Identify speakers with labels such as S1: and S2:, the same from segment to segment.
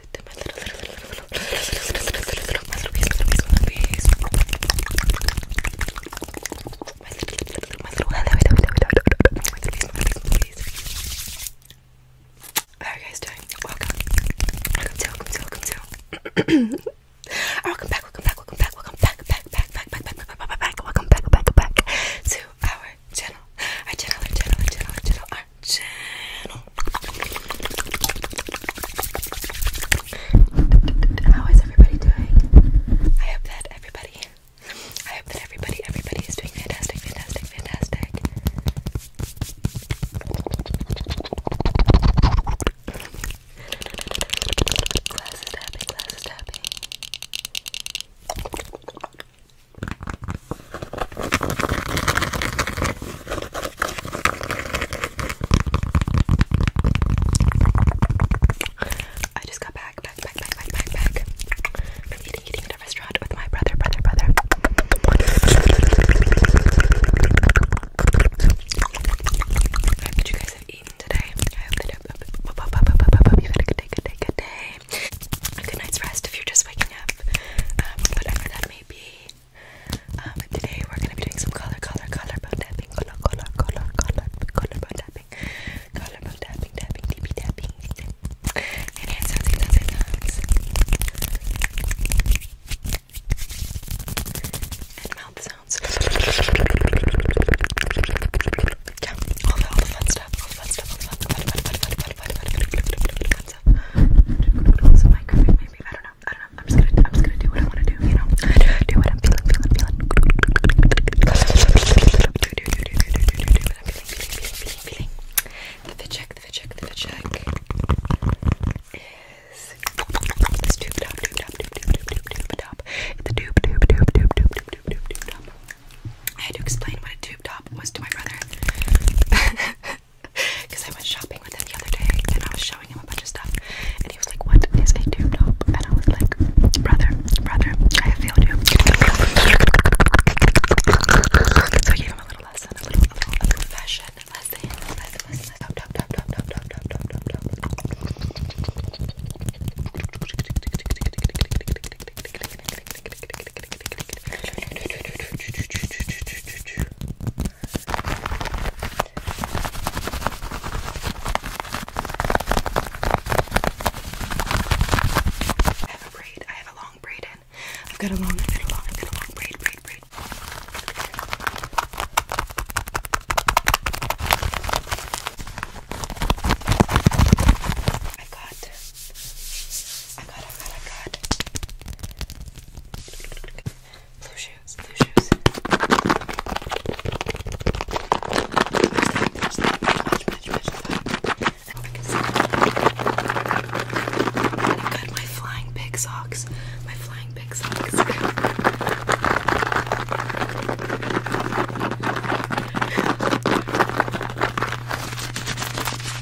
S1: my little, little, How are you guys doing? Welcome, welcome welcome welcome Welcome back, welcome back, welcome back, welcome back, back, back, back, back, back, back, back, back, welcome back, back, back to our channel, our channel, our channel, our channel, our channel, our channel. How is everybody doing? I hope that everybody, I hope that everybody, everybody is doing fantastic, fantastic, fantastic. Glass tapping, glass tapping. I just got back, back, back, back, back, back, back from eating, eating at a restaurant with my brother, brother, brother. I hope you guys have eaten today. I hope that you had a good day, good day, good day. A good night's rest if you're just waking up, um, whatever that may be. Um, today we're gonna be doing some color, color, color bone tapping, color, color, color, color, color bone color bone tapping, deep tapping, and hand sounds, hand sounds, hand and mouth sounds. all the all the fun stuff, all the fun stuff, all the fun, fun, fun, fun, fun, fun, fun, fun, fun, expensive. maybe. I don't know. I don't know. I'm just gonna, do what I wanna do, you know? Do what I'm feeling, feeling, feeling. The check, the check, the check is this tube top, tube top, tube, tube, tube, tube, tube top. It's a tube, tube, tube, top. I had to explain what a tube top was to my brother. Because I went shopping with him the other day and I was showing him a bunch of stuff. And he was like, What is a tube top? And I was like, Brother, brother, I have failed you. So I gave him a little lesson, a little, a little, a little fashion lesson. Lesson, lesson, top, top, top, top, top, top, top, top, top. I have a braid. I have a long braid in. I've got a long, I've got a long, I've got a long braid, braid, braid. I've got I got, I got, I got. Blue shoes, blue shoes. I got my flying pig socks. My flying pig socks.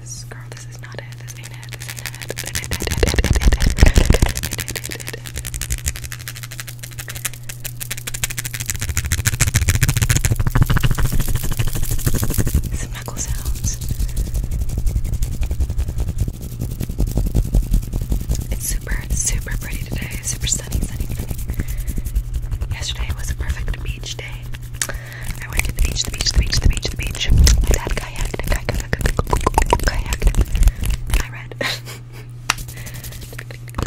S1: this. Girl, this is not it. This ain't it. This ain't it. This ain't it. Some knuckle sounds. It's super, super pretty today. Super sunny, sunny, sunny. Yesterday was a perfect beach day. I went to the beach, the beach, the beach, the beach, the beach. My dad kayaked, kayaked, kayaked, kayaked I read.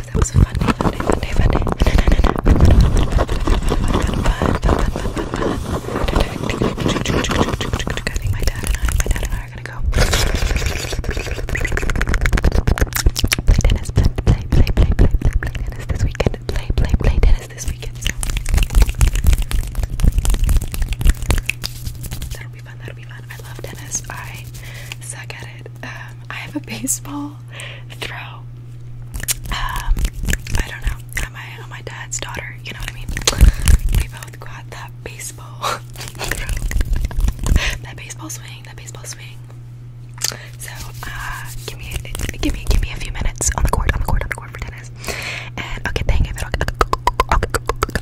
S1: that was a fun day, fun day, fun day, fun day. I think my dad and I, my dad and I are gonna go play tennis, play, play, play, play, play, play, play tennis this weekend. Play, play, play tennis this weekend, that'll be fun. That'll be fun. I love tennis. I suck at it. Um, I have a baseball throw. Um, I don't know. am I'm my dad's daughter. You know what I mean? We both got that baseball throw. that baseball swing. That baseball swing. So, uh, give me, give me, give me a few minutes on the court, on the court, on the court for tennis, and I'll get the hang of it. I'll,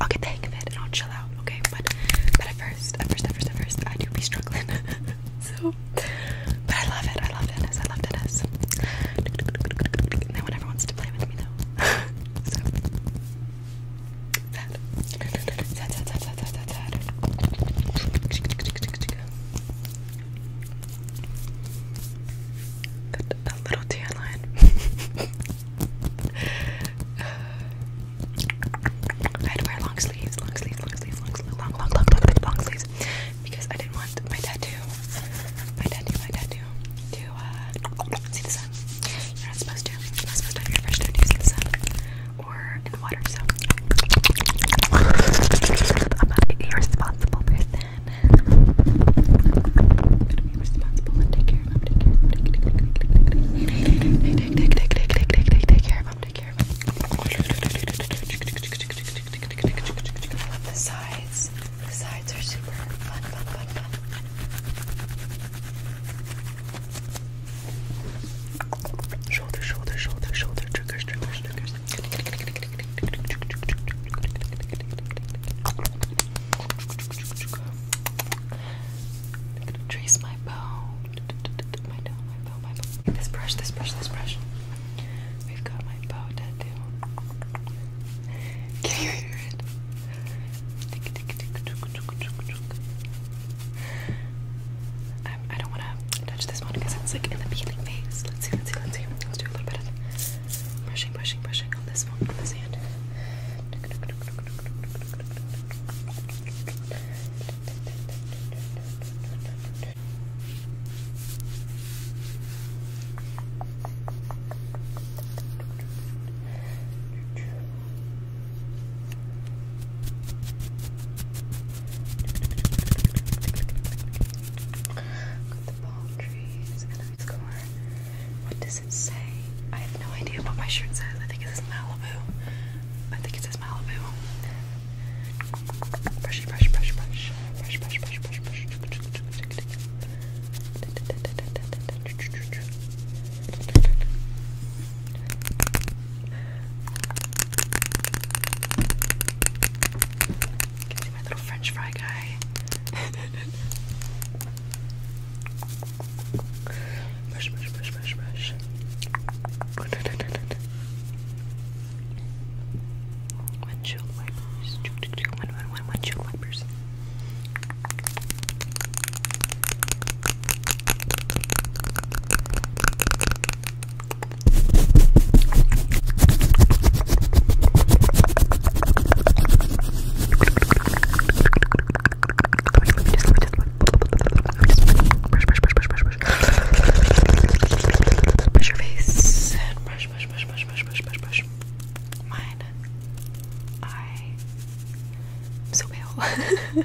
S1: get the hang of it, and I'll chill out, okay? But, but at first, at first, at first, at first, I do be struggling. so, but I love it. I love tennis. I love tennis. No one ever wants to play with me though. so, that, little tan line. I had to wear long sleeves, long sleeves, long sleeves, long sleeves, long, long, long, long, long sleeves, because I didn't want my tattoo, my tattoo, my tattoo, to uh, see the sun. You're not supposed to. You're not supposed to have your fresh tattoo see the sun, or and water, so I'm not irresponsible person. I'm gonna be responsible and take care of him, take care of him, take care of him, take care of him, take care of him. I love the sides. The sides are super fun. Shoulder, shoulder, shoulder, shoulder, triggers, triggers, triggers. Trace my bow. My bow, my bow, my bow. This brush, this brush, this brush. We've got my bow tattoo. Can you hear it? I, I don't want to touch this one because it's like in the peeling phase. Let's see, let's see, let's see. Let's do a little bit of brushing, brushing, brushing on this one, on this hand. Okay, Got the palm trees and I score. What does it say? I have no idea what my shirt says. I think it says Malibu. I think it says Malibu. Brush, brush, brush, brush. Brush, brush, brush, brush, brush. You my little French fry guy. brush, brush, brush, brush, brush. Windshield wipers. One, one, one, windshield wipers. Brush your face and brush, brush, brush, brush, brush, brush, brush, brush. Mine. I. I'm so pale.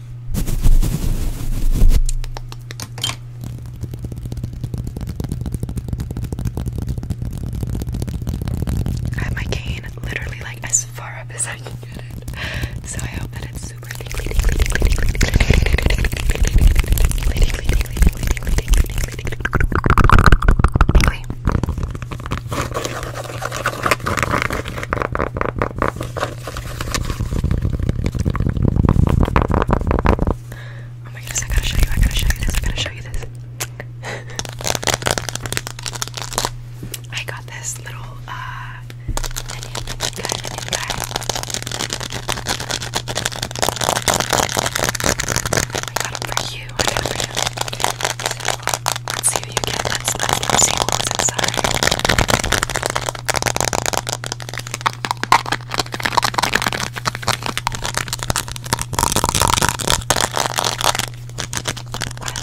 S1: I have my cane literally like as far up as I can get it. So I hope that it's super Oh my goodness, I gotta show you, I gotta show you this, I gotta show you this. I got this little uh onion guy, onion guy. I got for you, I got for you. Let's see if you get that sponge and see what was inside.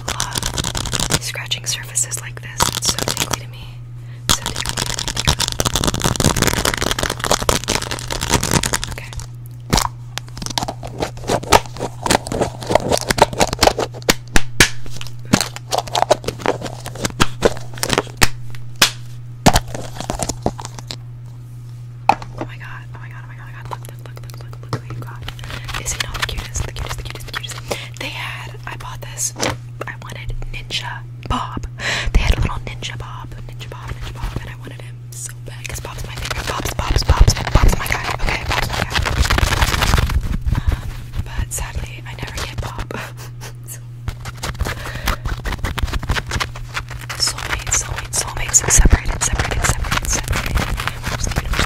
S1: I love scratching surfaces like this. so tingly to me. Okay. Oh my god, oh my god, oh my god, oh my god, look, look, look, look, look, look who you got. Is he not the cutest, the cutest, the cutest, the cutest? They had, I bought this, I wanted Ninja Bob. They had a little Ninja Bob, Ninja Bob, Ninja Bob, and I wanted him so bad because Bob's my favorite. Bob's, Bob's, Bob's, Bob's my guy. Okay, Bob's um, but sadly, I never get pop. so. Soulmates, soulmates, soulmates, separated, separated, separated, separated.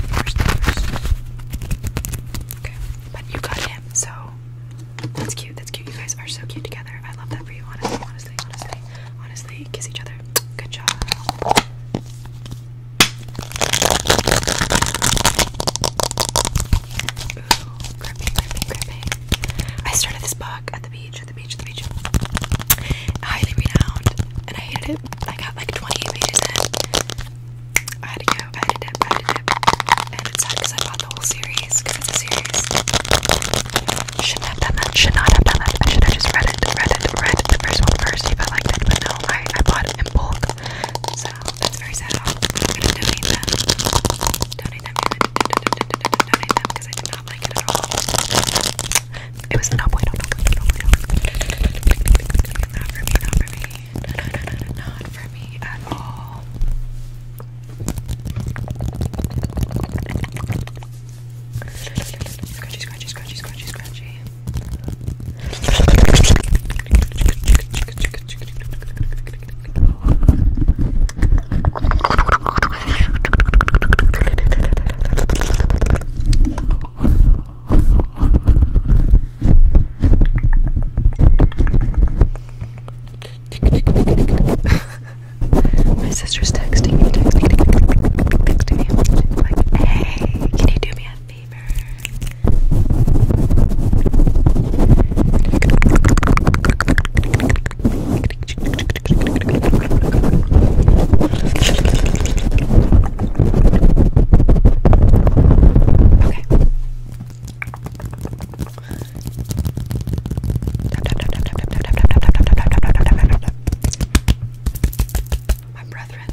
S1: Okay, but you got him, so that's cute. That's cute. You guys are so cute together. I love that for you, honestly, honestly, honestly, honestly. Kiss each other. Good job. Ooh, gripping, gripping, gripping. I started this book at the beach, at the beach, at the beach. Highly renowned, and I hated it. I got like 28 pages in. I had to go, I had to I had to And it's sad because I bought the whole series, because it's a series. Shouldn't have done that, should not have done that. I should have just read it, read it, read it, the first one first if I liked it, but no, I, bought it in so that's very sad. I'm gonna donate them. Donate them, donate them, because I did not like it at all. It was no bueno, no bueno, no bueno. Not for me, not for me. No, no, no, no, not for me at all. Scratchy, scratchy, scratchy, scratchy, scratchy. My sister's texting me, texting me, texting me, texting me, like, hey. Okay, can you do me a favor? Okay my brethren. I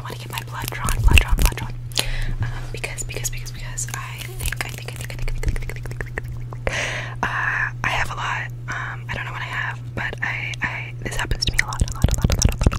S1: want to get my blood drawn, blood drawn, blood drawn. because, because, because, because I think, I think, I think, I think, I think, I think, I have a lot. I don't know what I have, but I, I, this happens to me a lot, a lot, a lot, a lot, a lot,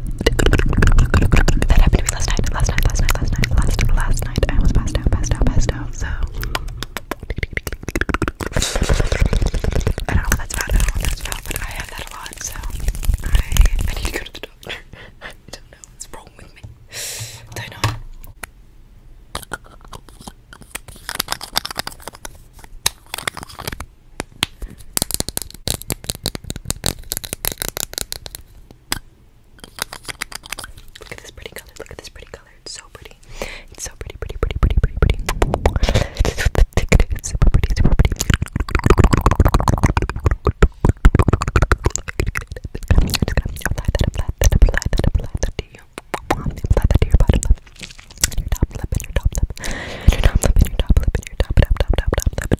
S1: That happened to me last night, last night, last night, last night, last night, last night. I was passed out, passed out, passed out. So I don't know if that's bad, I don't know if that's bad, but I have that a lot, so I I need to go to the doctor. I don't know what's wrong with me. I know. Look at this pretty color. Look at this pretty color. It's so pretty. It's so pretty, pretty, pretty, pretty, pretty, pretty. It's super pretty, super pretty. I'm just gonna apply that, apply that, apply that, apply that to you. Apply that to your bottom lip, and your top lip, and your top lip, and your top lip, and your top lip, and your top, top, top, top, top lip.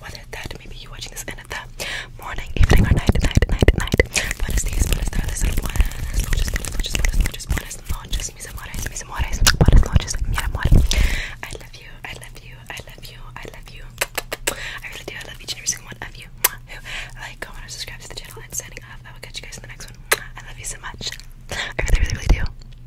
S1: whether that maybe you watching this end the morning, evening, or night, night, night, night. Buenos días, buenas tardes, buenas noches, buenas noches, buenas noches, buenas noches, mis amores, mis amores, buenas noches, mi amor. I love you, I love you, I love you, I love you. I really do. I love each and every single one of you. Who like, comment, or subscribe to the channel and signing up. I will catch you guys in the next one. I love you so much. I really, really, really do.